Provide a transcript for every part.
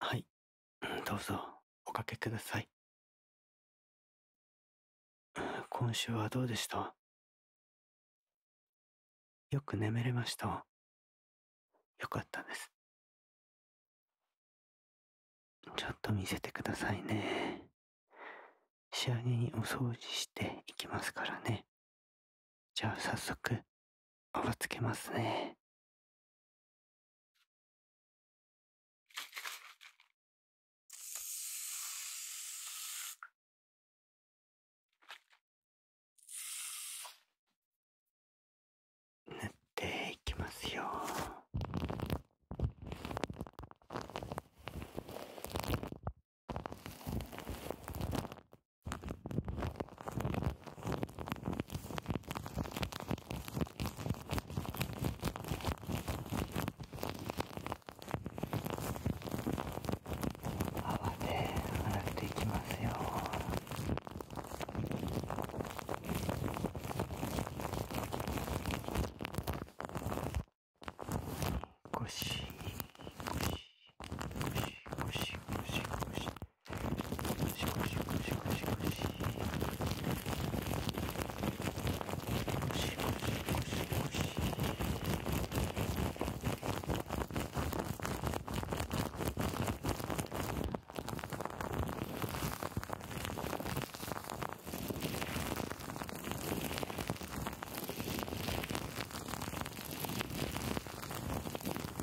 はい、どうぞおかけください。今週はどうでしたよく眠れました。よかったです。ちょっと見せてくださいね。仕上げにお掃除していきますからね。じゃあ早速をつけますね。塗っていきますよ。泡で洗っていきますよゴシゴシゴシゴシゴシゴシシコシコシコシコシコシコシコシ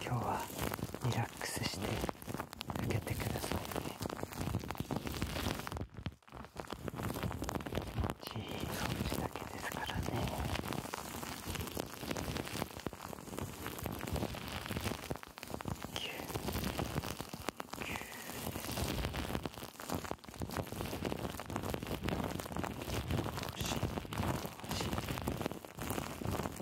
今日はリラックスして開けてくださいねちい掃除だけですからねキューキューしいしい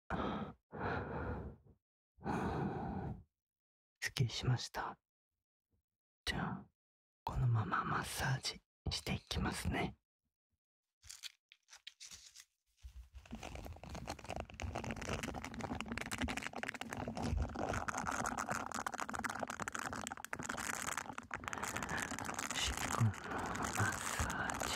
すっきりしました。じゃあ、このままマッサージしていきますね。しっこのマッサージ。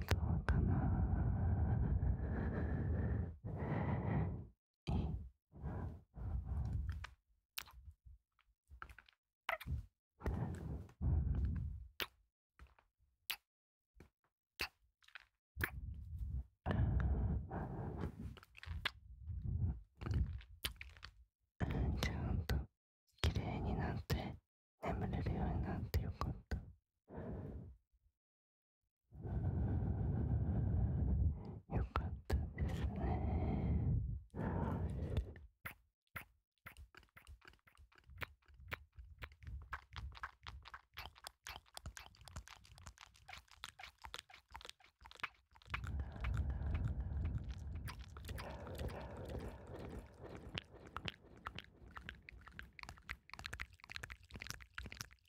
どうかないちゃんときれいになって眠れるようになってよかったよかったですねじ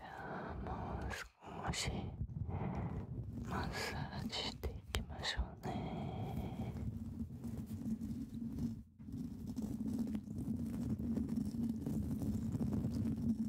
ゃあもう少しマッサージしていきましょうね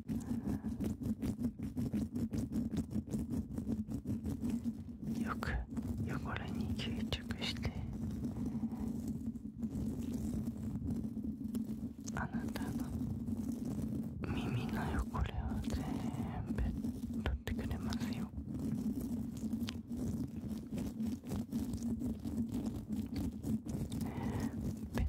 よく汚れに吸着してあなたの耳の汚れを全部取ってくれますよペッ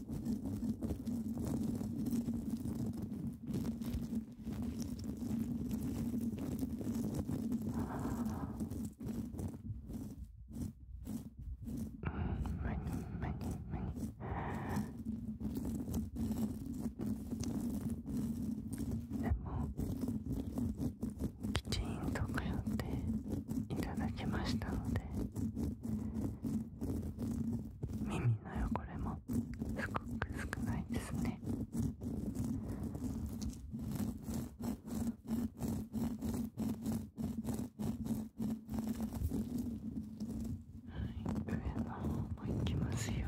うん。でもきちんと通っていただきましたので耳の汚れもすごく少ないですねはい上の方もいきますよ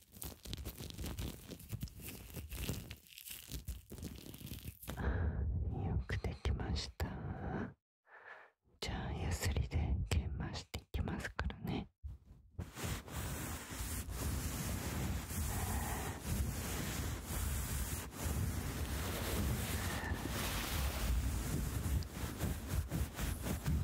よくできましたじゃあやすりで研磨していきますからね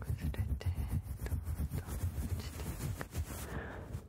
崩れてどんどん落ちていく。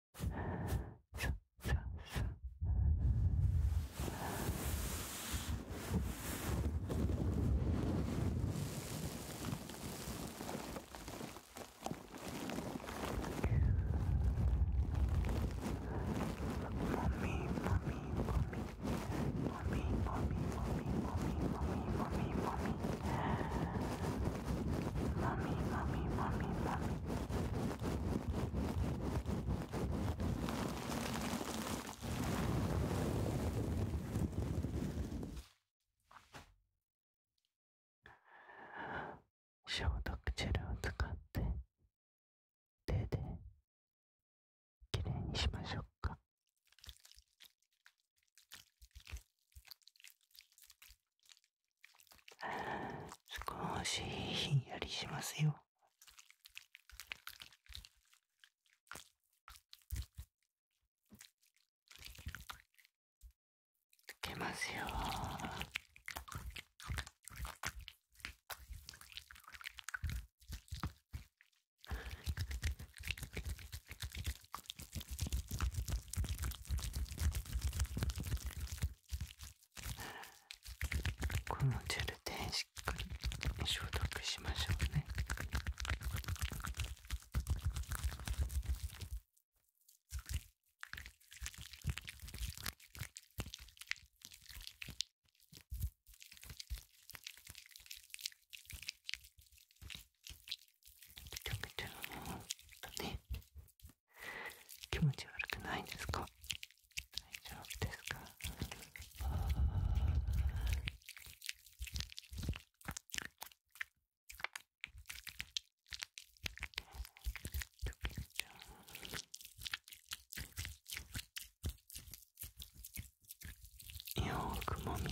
Mommy, mommy, mommy, mommy. 消毒ジェルを使って手できれいにしましょうか。少しひんやりしますよつけますよこのジェルでしっかり消毒しましょうね気持ち悪くないですか大丈夫ですかよくもみ込んで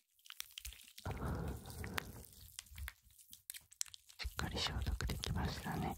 しっかり消毒できましたね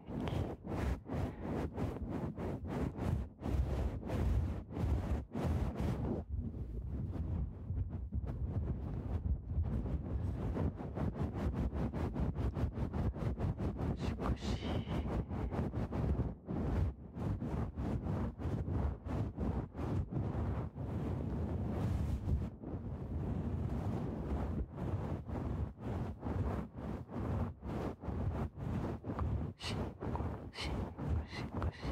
少しシンゴシンゴシ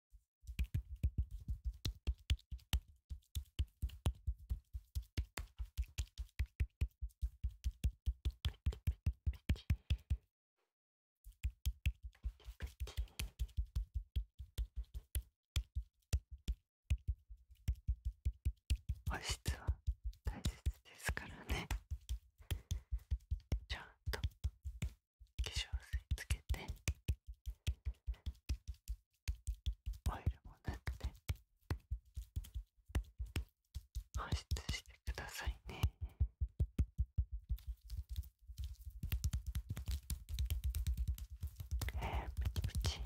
保湿は大切ですからねちゃんと化粧水つけてオイルもなくて保湿してくださいねえー、プチプチ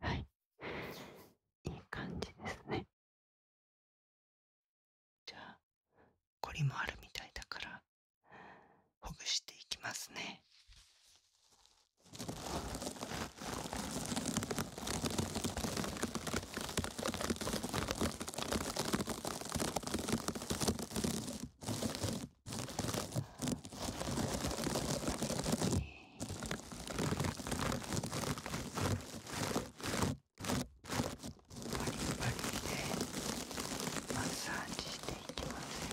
はいいい感じですねじゃあこりもあるみたいだからほぐしていきますねパリパリでマッサージしていきますよ。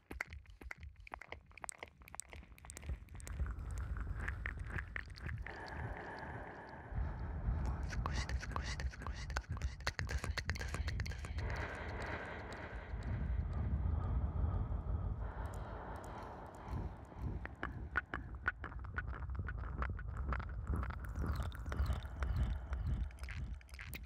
少しで少しで少しで少しでくださいくださいください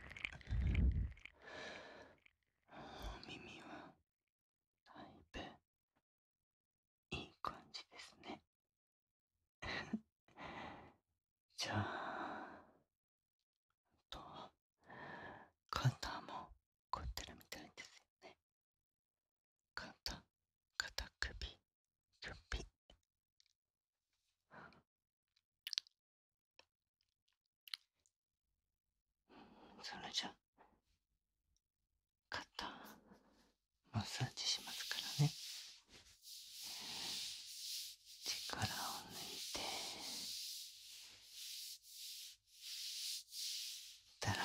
耳はだいぶいい感じですね じゃあと肩も凝ってるみたいですよね肩肩首首それじゃ肩マッサージしますからね力を抜いてだらー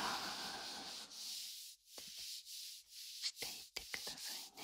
していってくださいね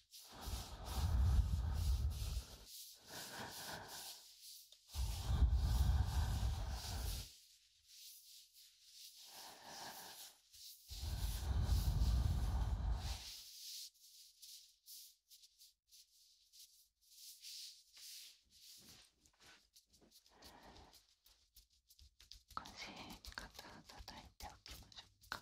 腰肩を叩いておきましょうか。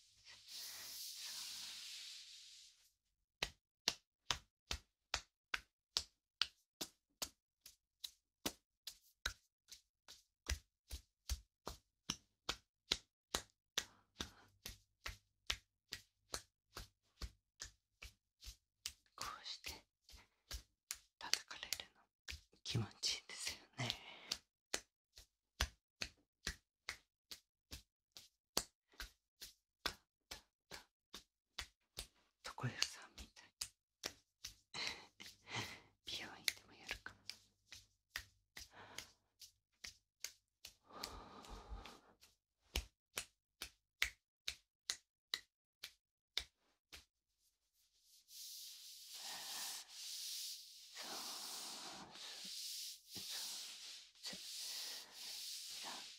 こうして叩かれるの気持ちいいんですよね。床屋さんみたい美容院でもやるかリラックスしてリラッ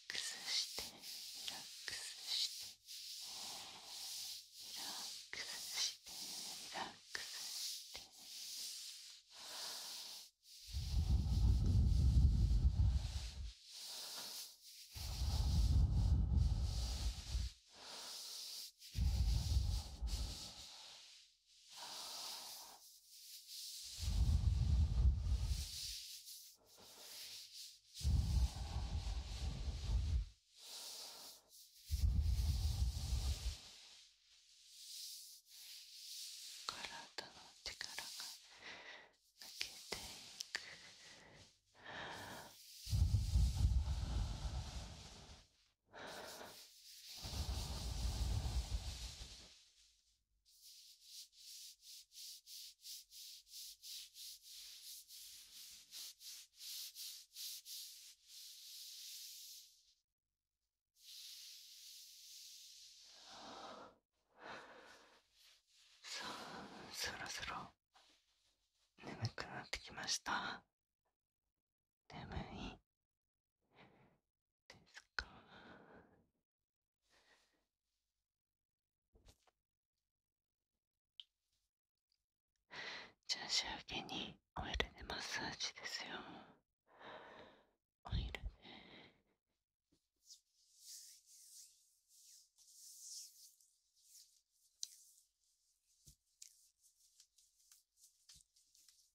クスしてリラックスしてリラックスして体の力が抜けていく。そろそろ眠くなってきました眠いですかじゃあ仕上げにオイルでマッサージですよオイルで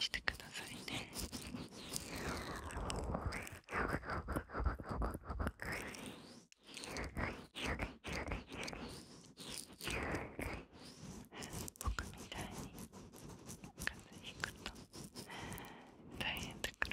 してくださいね。僕みたいに風邪ひくと大変だから。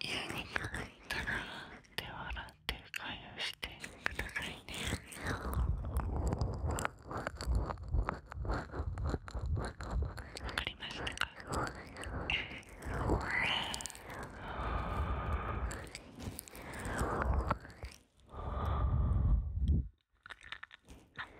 家に帰ったら手を洗って会してくださいねわかりました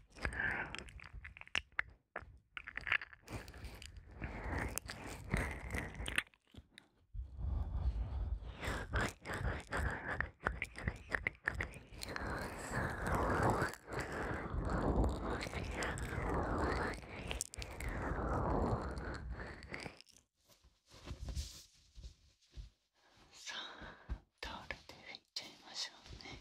さあタオルで拭いちゃいましょうね。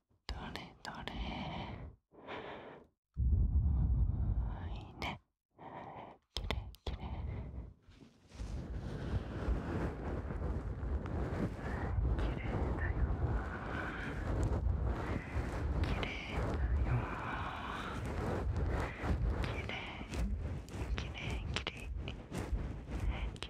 どれどれいいねきれいきれいだよきれだよきれいきれいきれ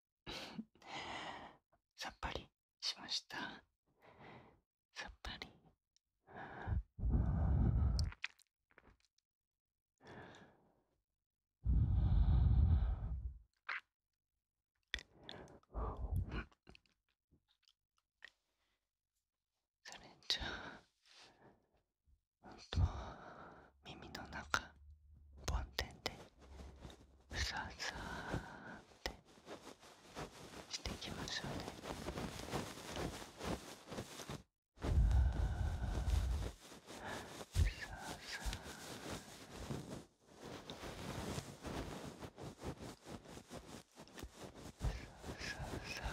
さっぱりしましたさっぱりそれじゃあ、うんと耳の中梵天でふさふさってしていきましょうね。ふさふさささふ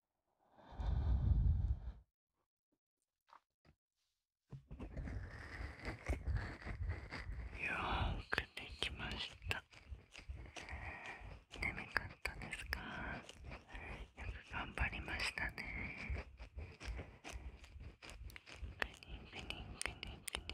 はよくできました眠かったですかよく頑張りましたねグニグニグニグニ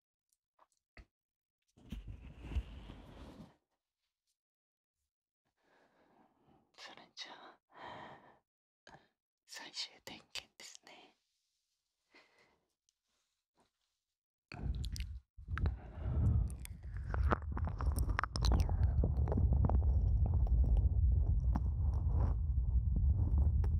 それじゃあ最終点検ですね。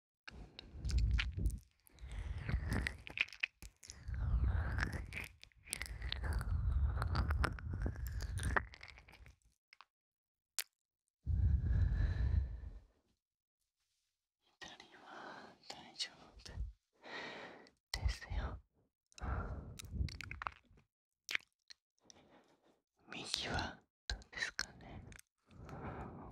は大丈夫ですよ右はどうですかね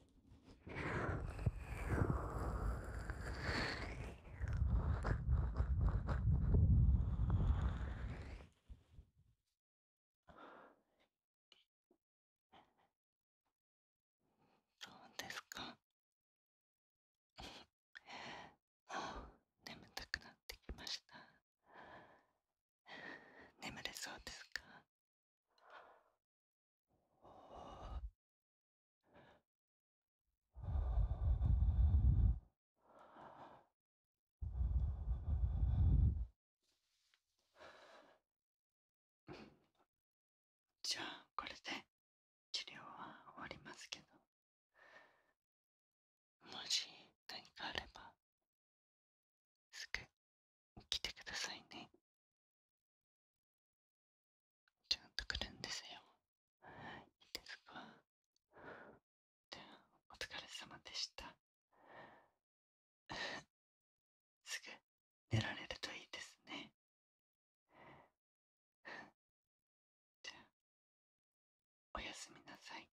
うですかもう眠たくなってきました眠れそうですかじゃあこれで治療は終わりますけどもし何かあればすく。きてくださいねちゃんと来るんですよいいですかじゃあお疲れ様でした すぐ寝られるといいですねじゃあおやすみなさい